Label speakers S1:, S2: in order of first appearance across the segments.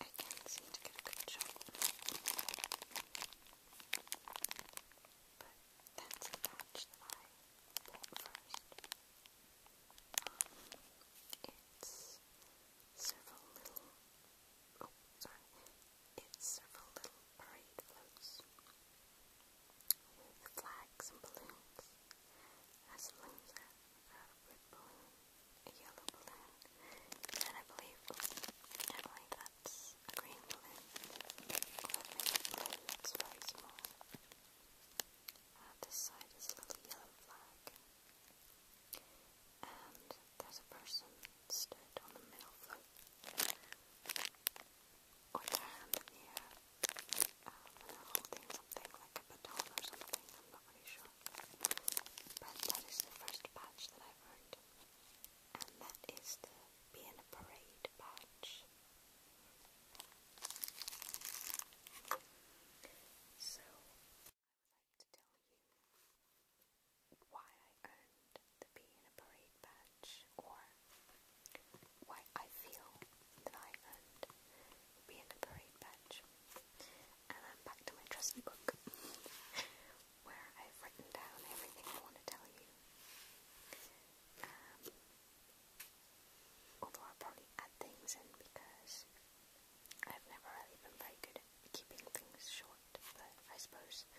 S1: I can't seem to get a good shot. But that's a patch it's several little. Oh, sorry. It's several little parade floats with flags and balloons. It balloons red balloon, a yellow balloon, and I believe, I believe that's a green balloon, that's very small. Uh, this side is a little yellow flag, and there's a person stood on the middle float with their uh, holding something like a baton or something, I'm not really sure. But that is the first patch that I've earned. And that is the Be in a Parade patch. So, I would like to tell you why I earned the Be in a Parade patch, or why I feel that I earned the Be in a Parade patch and I'm back to my trusty book where I've written down everything I want to tell you. Um, although I'll probably add things in because I've never really been very good at keeping things short, but I suppose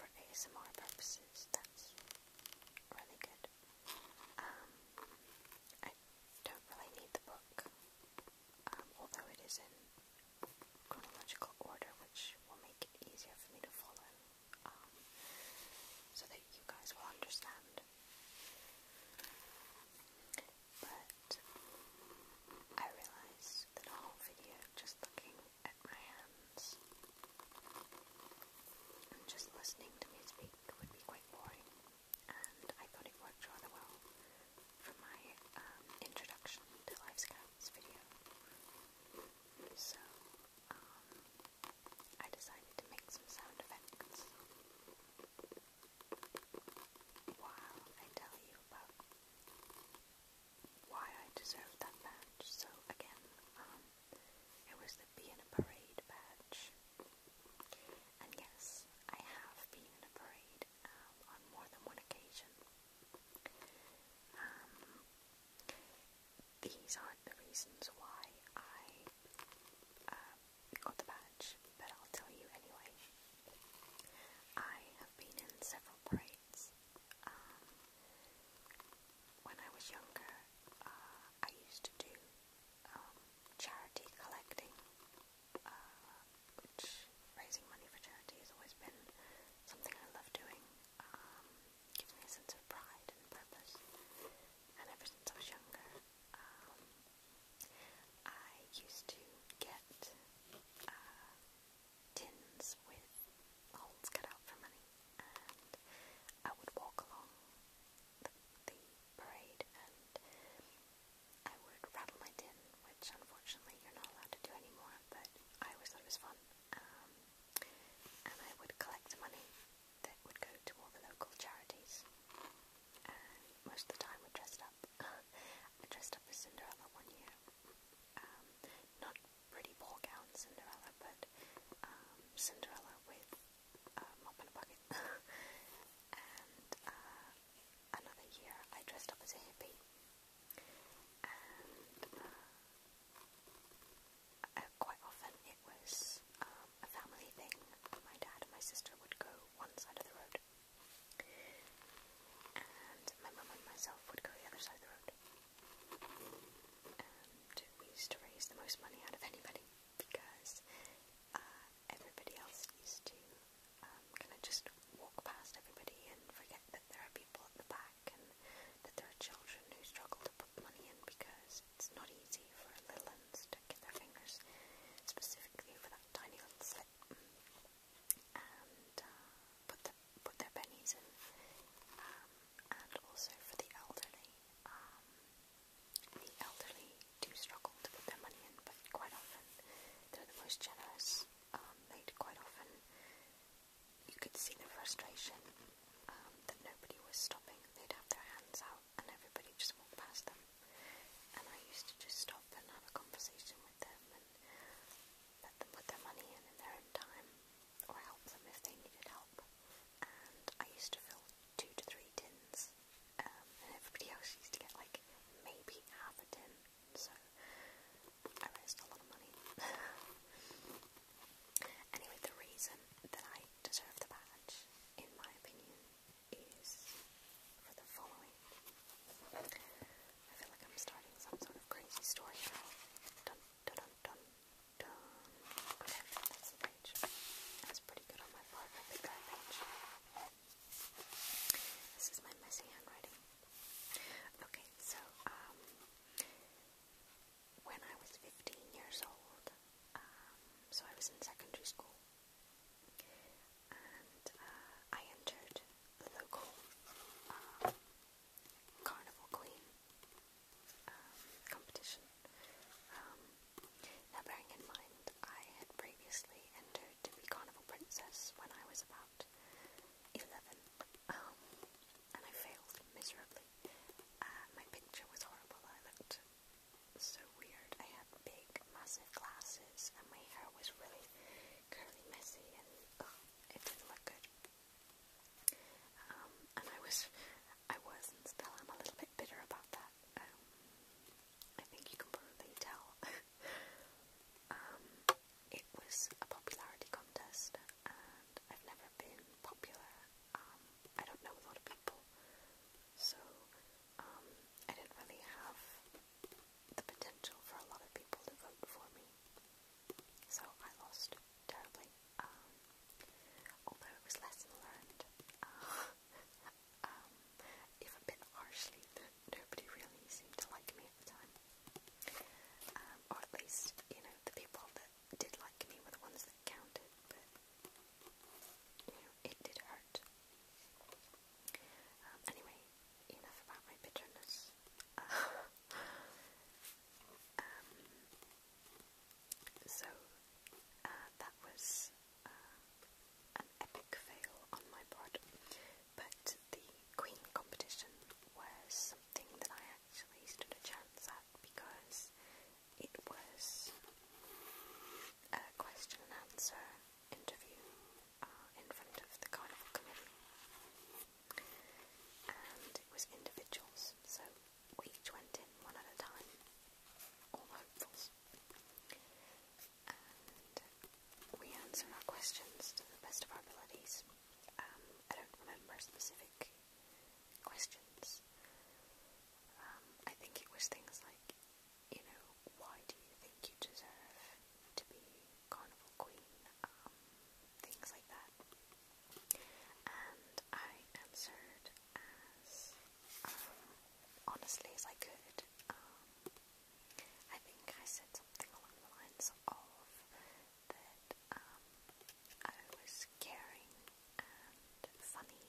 S1: for ASMR purposes that's really good. Um, I don't really need the book. Um, although it is in chronological order, which will make it easier for me to follow, um, so that you guys will understand. But I realized that a whole video just looking at my hands and just listening to me speak would be quite boring, and I thought it worked rather well for my um, introduction to Life Scouts video. So, um, I decided to make some sound effects while I tell you about why I deserve that badge. So, again, um, it was the Be in a Parade badge. And yes, I have been in a parade. Um, on more than one occasion. Um, these aren't the reasons why I uh, got the badge, but I'll tell you anyway. I have been in several parades. Um, when I was younger, uh, I used to do charity collecting uh, which raising money for charity has always been something I love doing. Um, gives me a sense of pride and purpose, and ever since I was younger, um, I used to get uh, tins with holes cut out for money, and I would walk along the, the parade and I would rattle my tin, which unfortunately you're not allowed to do anymore, but I always thought it was fun. Um, and I would collect money that would go to all the local charities. And most of the time I dressed up. I dressed up as Cinderella one year. Um, not pretty ball gown Cinderella, but um, Cinderella with a mop and a bucket. Uh, another year, I dressed up as a hippie, and uh, uh, quite often it was um, a family thing. My dad and my sister would go one side of the road, and my mum and myself would go the other side of the road. And we used to raise the most money out of anybody because uh, everybody else used to um, kind of just walk past everybody and forget that there are people at the back and that there are children who struggle to put money in because it's not easy for little ones to get their fingers specifically for that tiny little slit and uh, put, the, put their pennies in um, and also for the elderly. Um, the elderly do struggle to put their money in but quite often they're the most generous um, made quite often, you could see the frustration um, that nobody was stopping. They'd have their hands out and everybody just walked past them. And I used to just stop and have a conversation with them and let them put their money in in their own time or help them if they needed help. And I used to fill two to three tins um, and everybody else used to get like maybe half a tin so I raised a lot of money. anyway, the reason that I deserve the badge, in my opinion, is for the following. I feel like I'm starting some sort of crazy story now. Dun dun dun Okay, that's the page. That's pretty good on my part. I picked page. This is my messy handwriting. Okay, so, um, when I was 15 years old, um, so I was in secondary school, and uh, I entered the local um, Carnival Queen competition. now, bearing in mind, I had previously entered to be Carnival Princess when I was about 11, um, and I failed miserably. Uh, my picture was horrible, I looked so weird. I had big, massive glasses, and my hair was really curly, messy, and it didn't look good. Um, and I was, I was, and still am a little bit bitter about that. Um, I think you can probably tell. Um, it was a popularity contest, and I've never been popular. Um, I don't know a lot of people, so um, I didn't really have the potential for a lot of people to vote for me. So I lost terribly. although it was lesson learned, uh, a bit harshly nobody really seemed to like me at the time. Um, or at least, you know, the people that did like me were the ones that counted, but, it did hurt. Um, anyway, enough about my bitterness. Um, so, uh, that was uh, an epic fail on my part but the Queen competition was something that I actually stood a chance at because it was a question and answer interview uh, in front of the Carnival Committee. And it was individuals, so we each went in one at a time, all hopefuls and we answer our questions to the best of our abilities. Um, I don't remember specific questions. Um, I think it was things like, you know, why do you think you deserve to be carnival queen? Um, things like that. And I answered as honestly as I could. I think I said something along the lines of that um, I was caring and funny,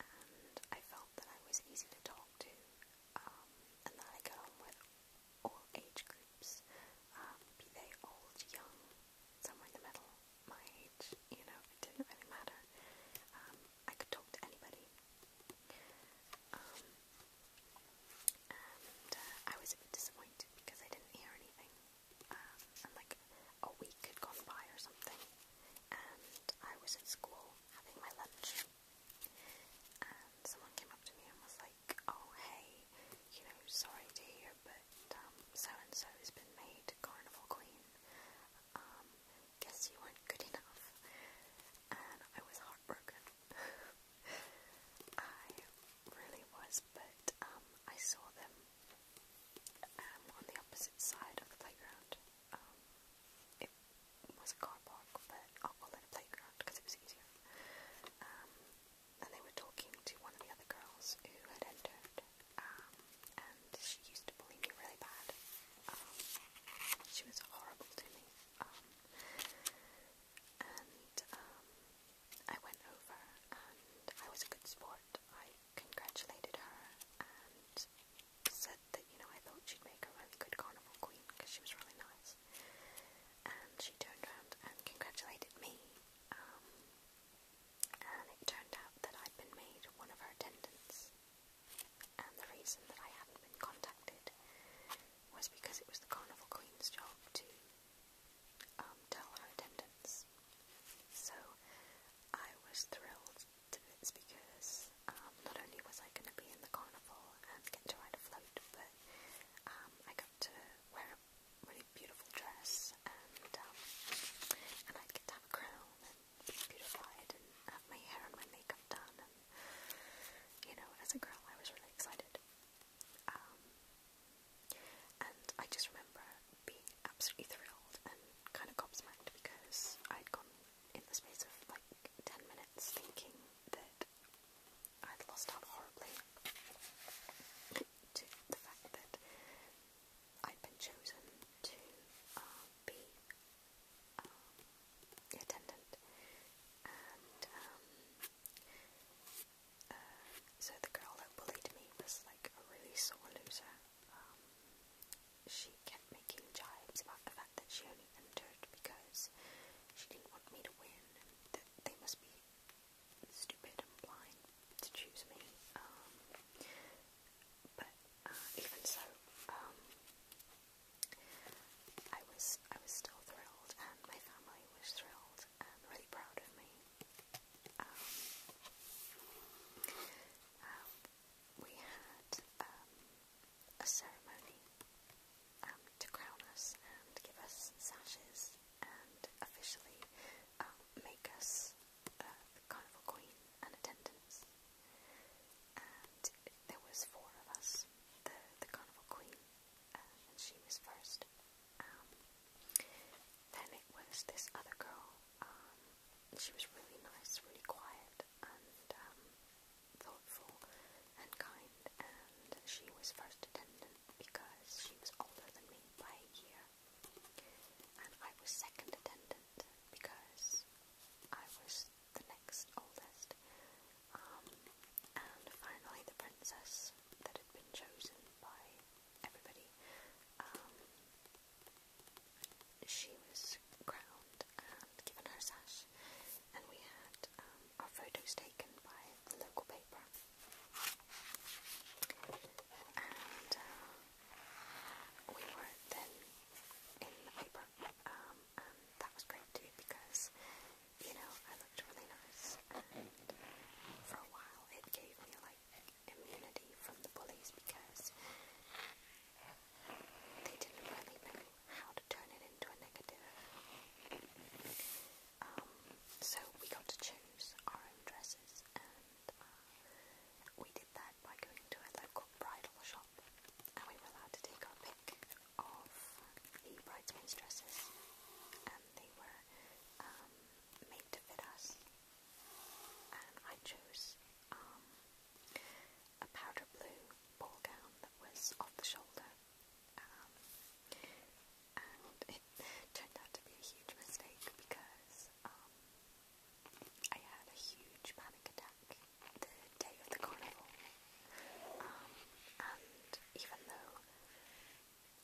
S1: and I felt that I was easy to talk to, um, and that I got on with all age groups, um, be they old, young, somewhere in the middle, my age, you know, it didn't really matter. I could talk to anybody and uh, I was a bit disappointed because I didn't hear anything, um, and like a week had gone by or something, and I was at school having my lunch, and someone came up to me and was like, "Oh hey, you know, sorry dear, but um, so and so has been made carnival queen. Um, guess you weren't good enough," and I was heartbroken. I really was, but um, I saw them um, on the opposite side of the playground. Um, it was a car park, but I'll oh, it a playground because it was easier. and they were talking to one of the other girls who had entered, and she used to bully me really bad. she was horrible to me. And um, I went over and I was a good sport. I congratulated her and said that, you know, I thought she'd make a really good carnival queen because she was really nice. And she turned around and congratulated me. Um, and it turned out that I'd been made one of her attendants and the reason that I hadn't been contacted was because it was the Carnival Queen's job to um, tell her attendants. So I was thrilled to bits because um, not only was I going to be in the carnival and get to ride a float, but um, I got to wear a really beautiful dress and and I'd have a crown and be beautified and have my hair and my makeup done and you know, as a girl, I was really excited. Um, and I just remember being absolutely thrilled and kind of gobsmacked because I'd gone in the space of like 10 minutes thinking that I'd lost out horribly to the fact that I'd been chosen to uh, be um, your attendant, and um, uh, so the girl that bullied me was like a really sore loser. Um, she kept making jibes about the fact that she only entered because she didn't want me to win, that they must be stupid and blind to choose me. Um, but uh, even so, um, I was I was still thrilled, and my family was thrilled and really proud of me. Um, um, we had um, a ceremony to crown us and give us sashes and officially make us uh, carnival queen and attendants and there was four of us, the the carnival queen, um, and she was first. Um, then it was this other girl. Um, she was really nice, really quiet, and um, thoughtful and kind. And she was first attendant because she was older than me by a year, and I was second attendant because I was the next oldest. Um, and finally, the princess that had been chosen by everybody. Um, she was crowned and given her sash, and we had um, our photos taken by the local paper. And uh, we were then in the paper, that was great too because you know, I looked really nice. And for a while, it gave me like immunity from the bullies because they didn't really know how to turn it into a negative. Um, so we got to choose our own dresses, and uh, we did that by going to a local bridal shop and we were allowed to take our pick of the bridesmaids' dresses and they were um, made to fit us. And I chose um, a powder blue ball gown that was off the shoulder. Um, and it turned out to be a huge mistake because I had a huge panic attack the day of the carnival. Um, and even though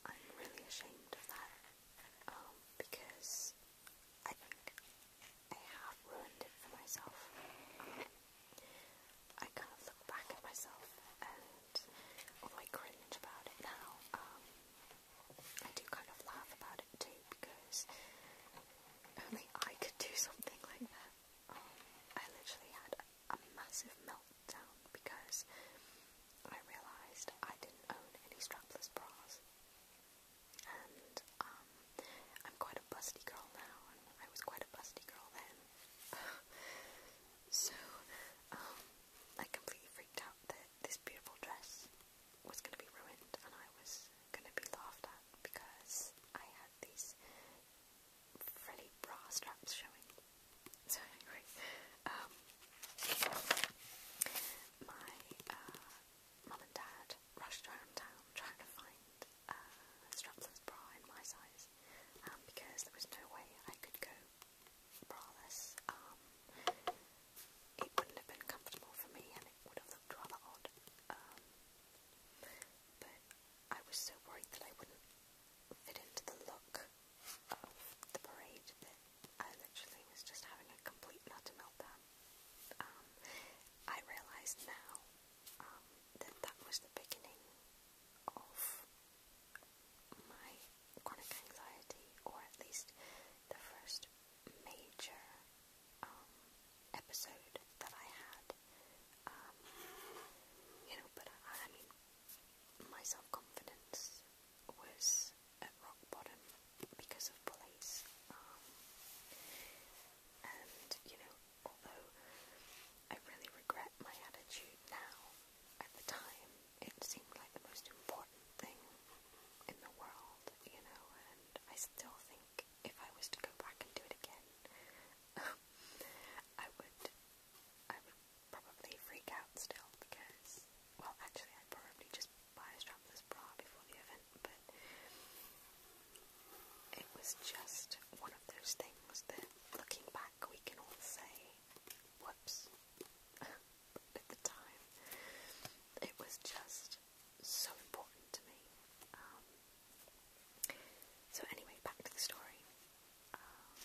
S1: I'm really ashamed of that, um, because I think I have ruined it for myself. I kind of look back at myself and although cringe about it now, um, I do kind of laugh about it too because only I could do something like that. I literally had a massive meltdown because I realised I didn't own any strapless bras. And um, I'm quite a busty girl now, I was quite a busty girl then. so um, I completely freaked out that this beautiful dress was going to be ruined, and I was going to be laughed at because I had these frilly bra straps showing. So um, my uh, mum and dad rushed around town trying to find a uh, strapless bra in my size um, because there was no way I could go braless. Um, it wouldn't have for me and it would have rather odd. I was so worried that I wouldn't fit into the look of the parade that I literally was just having a complete nutter meltdown. Um, I realise now um, that that was the beginning of my chronic anxiety, or at least the first major um, episode that I had um, you know, but I, mean, my self-confidence was at rock bottom because of bullies, um, and, you know, although I really regret my attitude now, at the time, it seemed like the most important thing in the world, you know, and I still think if I was to go back and do it again, I would, I would probably freak out still because, well, actually, I'd probably just buy a strapless bra before the event, but it was just one of those things that, looking back, we can all say, whoops. At the time, it was just so important to me. Um, so anyway, back to the story. Um,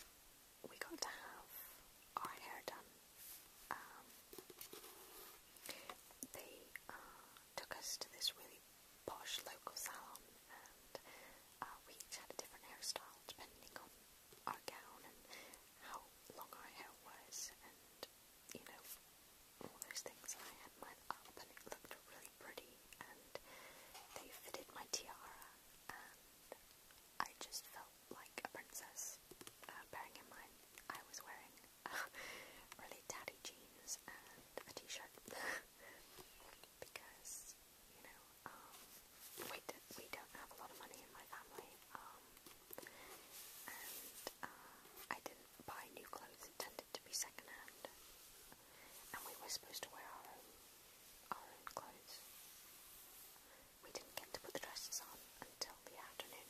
S1: we got to have our hair done. Um, they uh, took us to this really posh local salon, and uh, we each had a different hairstyle depending on our gown and how long our hair was, and you know all those things. I had mine up, and it looked really pretty they fitted my tiara and I just felt like a princess, uh, bearing in mind I was wearing really tatty jeans and a t-shirt because, you know, um, we, we don't have a lot of money in my family um, and uh, I didn't buy new clothes, intended to be secondhand and we were supposed to wear our own, clothes. We didn't get to put the dresses on until the afternoon.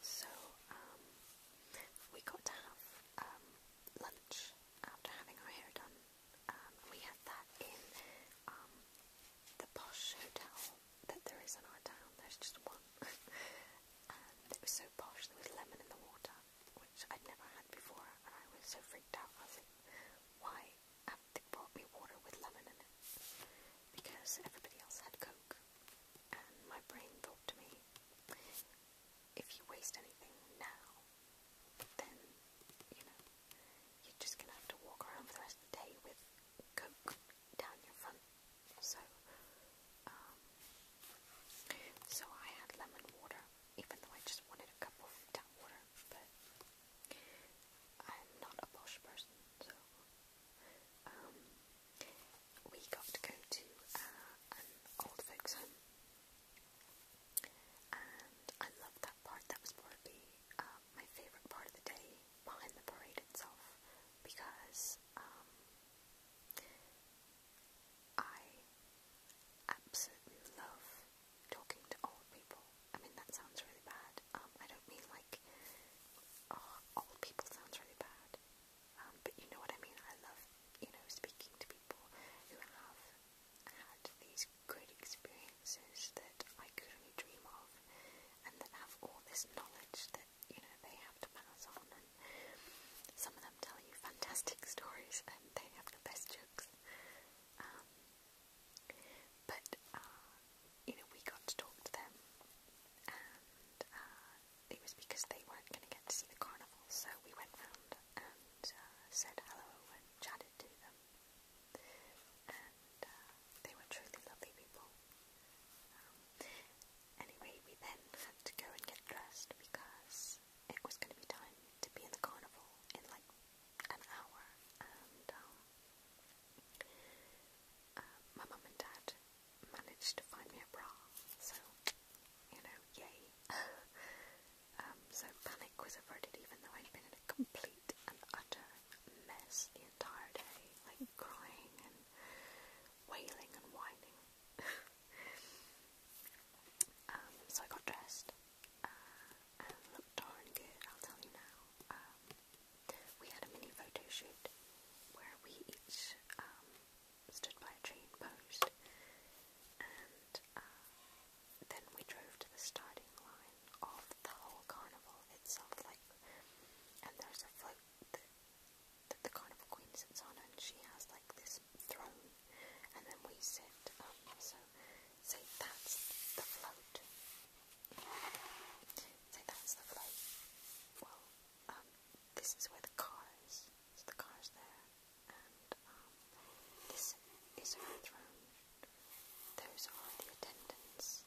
S1: So, um, we got to have um, lunch after having our hair done. Um, we had that in the posh hotel that there is in our town. There's just one. and it was so posh, there was lemon in the water which I'd never had before, and I was so freaked out. I was like, why have they brought me water with lemon in it? Because everybody else had Coke, and my brain thought to me, if you waste anything now, then, you know, you're just gonna have to walk around for the rest of the day with Coke down your front. So, um, so I had lemon water, even though I just wanted a cup of tap water, but I'm not a posh person, so um, we got to go to uh, an old folks home, and I loved that part. That was probably uh, my favourite part of the day, behind the parade itself, because um, I absolutely love talking to old people. I mean, that sounds really bad. Um, I don't mean like, oh, old people sounds really bad. Um, but you know what I mean? I love, you know, speaking to people who have had these good experiences that I could only dream of and then have all this knowledge that, you know, they have to pass on. Some of them tell you fantastic stories and they have the best jokes. Um, but, uh, you know, we got to talk to them and uh, it was because they weren't going to get to see the carnival, so we went round and uh, said hello and chatted to them. And uh, they were truly lovely people. Um, anyway, we then had to go and get dressed because it was going to be time to be in the carnival in like an hour, and um, uh, my mum and dad managed to find me a bra, so you know, yay. Um, so panic was averted, even though I'd been in a complete and utter mess the entire day, like crying and wailing and whining um, so I got dressed uh, and looked darn good, I'll tell you now. Um, we had a mini photo shoot where we each um, stood by a tree and and uh, then we drove to the starting line of the whole carnival itself. Like, and there's a float that that the Carnival Queen sits on, and she has like this throne, and then we sit. Um, so, say that's the float. Say that's the float. Well, um, this is where the car is. So the car's there, and um, this is her throne. Those are the attendants,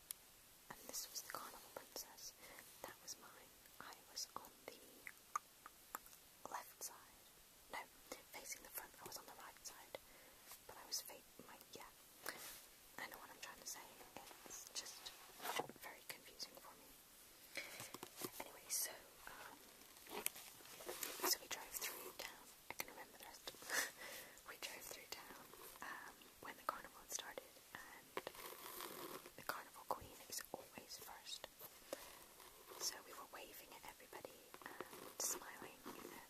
S1: and this was the Carnival Princess. That was mine. I was on the left side. No, facing the front. I was on the right side, but I was fake. My yeah. I know what I'm trying to say. It's just very confusing for me. Anyway, so um, so we drove through town. I can remember the rest. we drove through town um, when the carnival started, and the carnival queen is always first. So we were waving at everybody and smiling, and you know,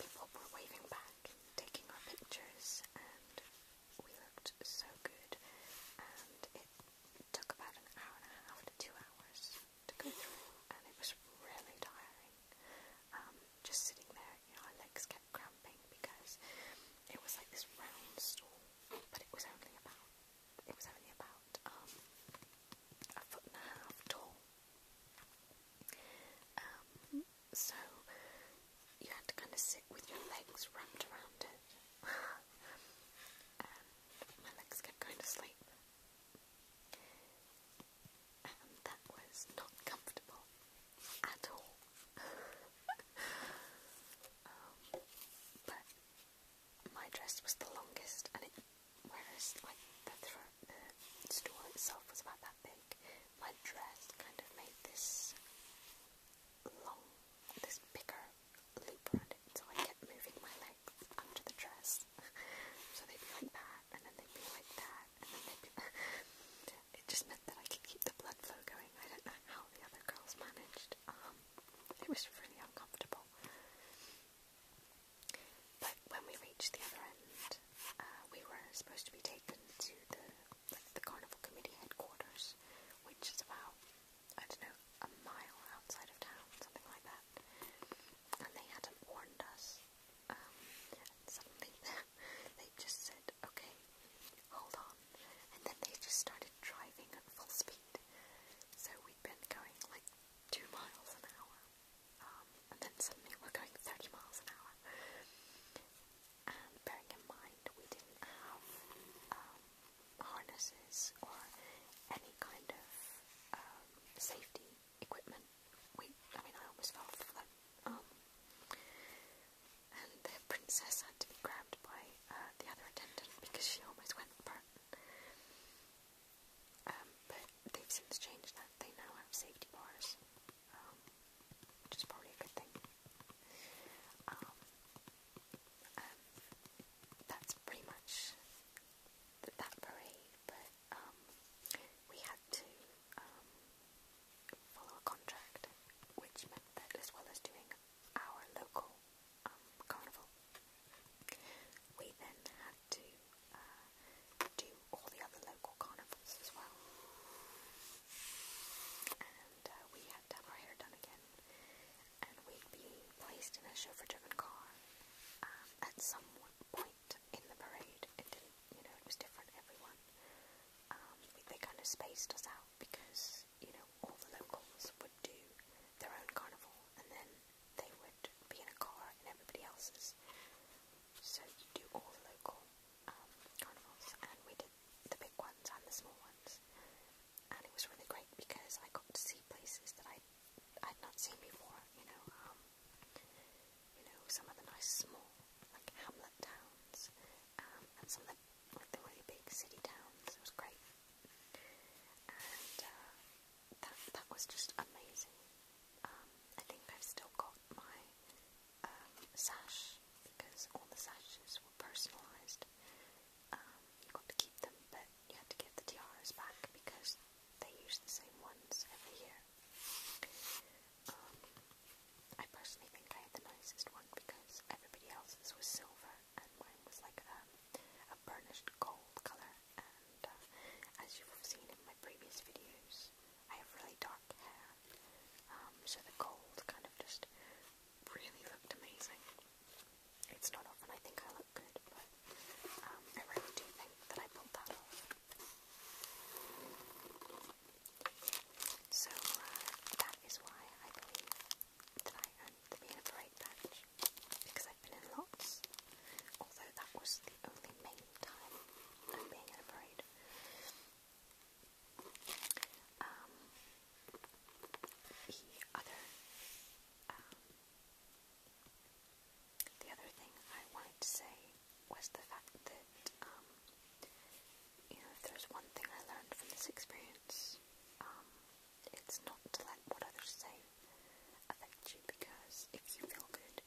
S1: people were waving back, taking our pictures, and we looked so good. And it took about an hour and a half to two hours to go through, and it was really tiring. Um, just sitting there, you know, our legs kept cramping because it was like this round stool, but it was only about it was only about um, a foot and a half tall. Um, so you had to kind of sit with your legs wrapped around it. my legs kept going to sleep. And that was not comfortable at all. Um, but my dress was the longest, and it, whereas like the, the store itself was about that big, my dress kind of made this long, this bigger loop around it, so I kept moving my legs under the dress, so they'd be like that, and then they'd be like that, and then they'd be. it just meant that I could keep the blood flow going. I don't know how the other girls managed. Um, it was really uncomfortable. But when we reached the other end, uh, we were supposed to be taken to the the carnival committee headquarters, which is about I don't know a mile outside of town, something like that. And they hadn't warned us. Um, they just said, "Okay, hold on. And then they just started driving at full speed. So we'd been going like two miles an hour. Um, and then suddenly we're going 30 miles an hour. And bearing in mind we didn't have um, harnesses or any kind of um, safety equipment. We, I mean, I almost fell off the um, and the princess had to be grabbed by uh, the other attendant because she almost went for Um, but they've since changed that. They now have safety bars, um, which is probably a good thing. Um, that's pretty much that parade, but um, we had to follow a contract, which meant that as well as doing our local um, carnival. We then had to uh, do all the other local carnivals as well. And uh, we had to have our hair done again. And we'd be placed in a chauffeur-driven car um, at some point in the parade. It didn't, you know, it was different everyone. Um, they kind of spaced us out because because, you know, all the locals would do their own carnival and then they would be in a car in everybody else's. So you do all the local um, carnivals and we did the big ones and the small ones. And it was really great because I got to see places that I I'd not seen before, you know, um, you know, some of the nice small, like hamlet towns, um, and some of the like the really big city towns. It was great, and uh, that that was just amazing. Um, I think I've still got my um, sash because all the sashes were personalised. Um, you got to keep them, but you had to give the tiaras back because they use the same ones every year. Um, I personally think I had the nicest one because everybody else's was silver and was like um, a burnished gold colour and uh, as you've seen in my previous videos I have really dark hair um, so the gold kind of just really looked amazing. It's not often I think I look good but um, I really do think that I pulled that off. So uh, that is why I believe that I the being a because I've been in lots, although that was the only main time of being in Um, the other, um, the other thing I wanted to say was the fact that, um, you know, if there's one thing I learned from this experience, um, it's not like what others say affect you because if you feel good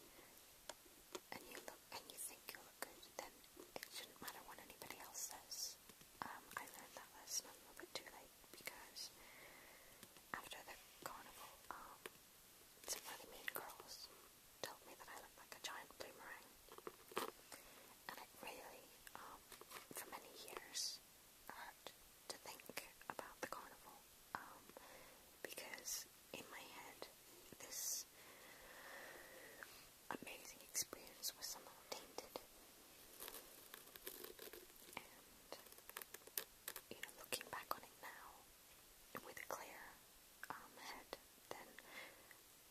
S1: and you look and you think you look good, then it shouldn't matter what anybody else says. Um, I learned that lesson a little bit too late because after the carnival, um, some really mean girls told me that I looked like a giant blue And it really, um, for many years, and to think about the carnival um, because in my head this amazing experience was somehow tainted and you know looking back on it now with a clear um, head then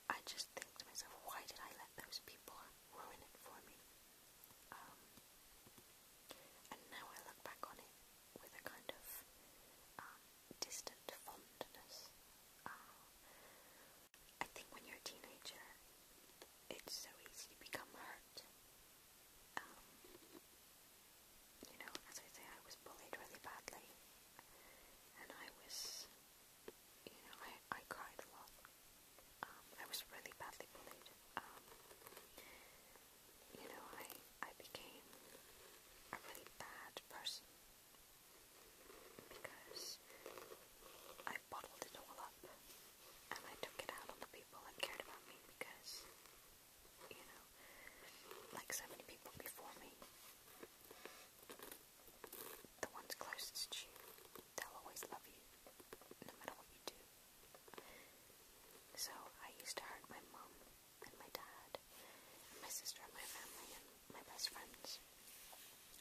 S1: I just think to myself why did I let those people ruin it for me um, and now I look back on it with a kind of um, distant fondness. Uh, I think when you're a teenager, it's so easy to become hurt. Um, you know, as I say, I was bullied really badly, and I was, you know, I, I cried a lot. Um, I was really badly bullied. Um, you know, I I became a really bad person because I bottled it all up and I took it out on the people that cared about me because you know, like so many people before me, the ones closest to you, they'll always love you no matter what you do. So I used to hurt my mum and my dad and my sister and my family and my best friends.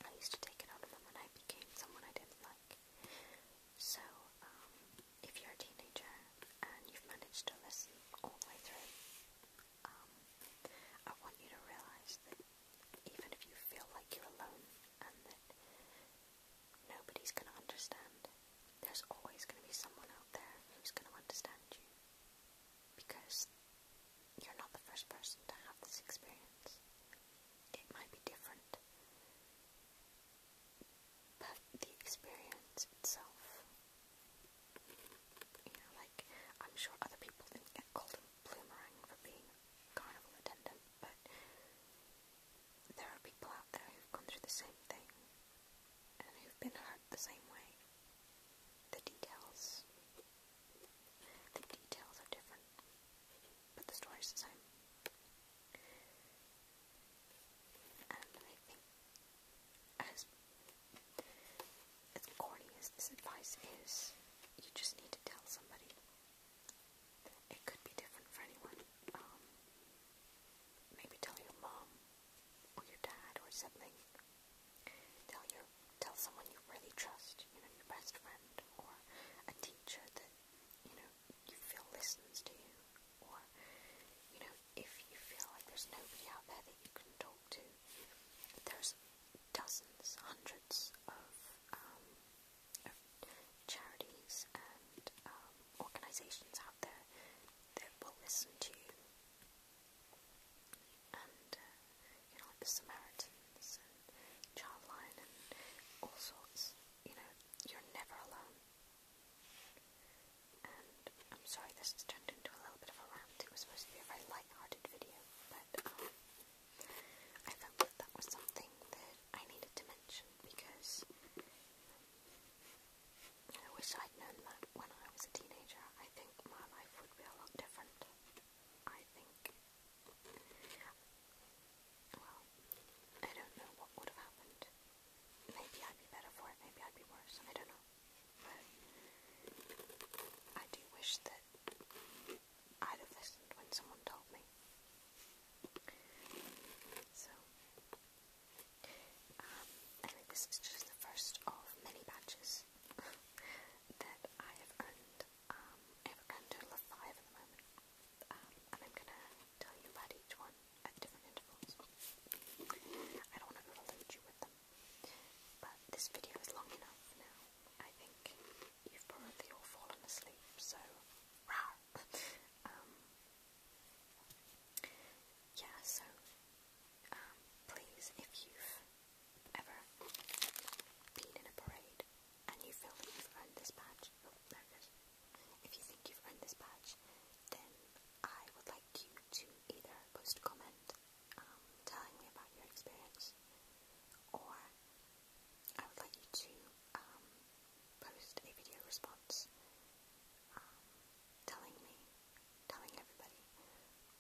S1: I used to take it out on them when I became someone I didn't like. So, um, if you're a teenager and you've managed to listen all the way through, um, I want you to realize that even if you feel like you're alone and that Nobody's going to understand. There's always going to be someone out there who's going to understand you because you're not the first person to have this experience. It might be different, but the experience itself, you know, like I'm sure other people didn't get cold Bloomerang for being carnival attendant, but there are people out there who've gone through the same thing and who've been hurt the same way. The details, the details are different, but the story's the same. And as corny as this advice is, you just need to tell somebody. It could be different for anyone. Um, maybe tell your mom or your dad or sibling. Tell your tell someone you really trust, you know, your best friend or a teacher that, you know, you feel listens to you. Or, you know, if you feel like there's nobody out there that you can talk to, there's dozens, hundreds of um charities and um, organisations out there that will listen to you. Uh, you know, like the Samaritans and Childline and all sorts. You know, you're never alone. And I'm sorry this has turned into a little bit of a rant. It was supposed to be a very light-hearted video, but um, I felt that that was something that I needed to mention because I wish I'd known that when I was a teenager. I think my life would be a lot different. I think. Well, I don't know what would have happened. Maybe I'd be better for it, maybe I'd be worse, I don't know. But I do wish that i have listened when someone told me. So, um, this is just the first of many badges that I have earned. Um, I have a total of five at the moment, um, and I'm gonna tell you about each one at different intervals. I don't want to overload you with them, but this video is long enough now. I think you've probably all fallen asleep, so Wow. Um, yeah, so um, please, if you've ever been in a parade and you feel that you've earned this badge, oh, there If you think you've earned this badge, then I would like you to either post a comment um, telling me about your experience or I would like you to um, post a video response um, telling me, telling everybody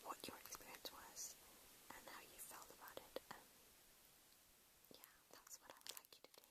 S1: what your experience was and how you felt about it. yeah, that's what I would like you to do.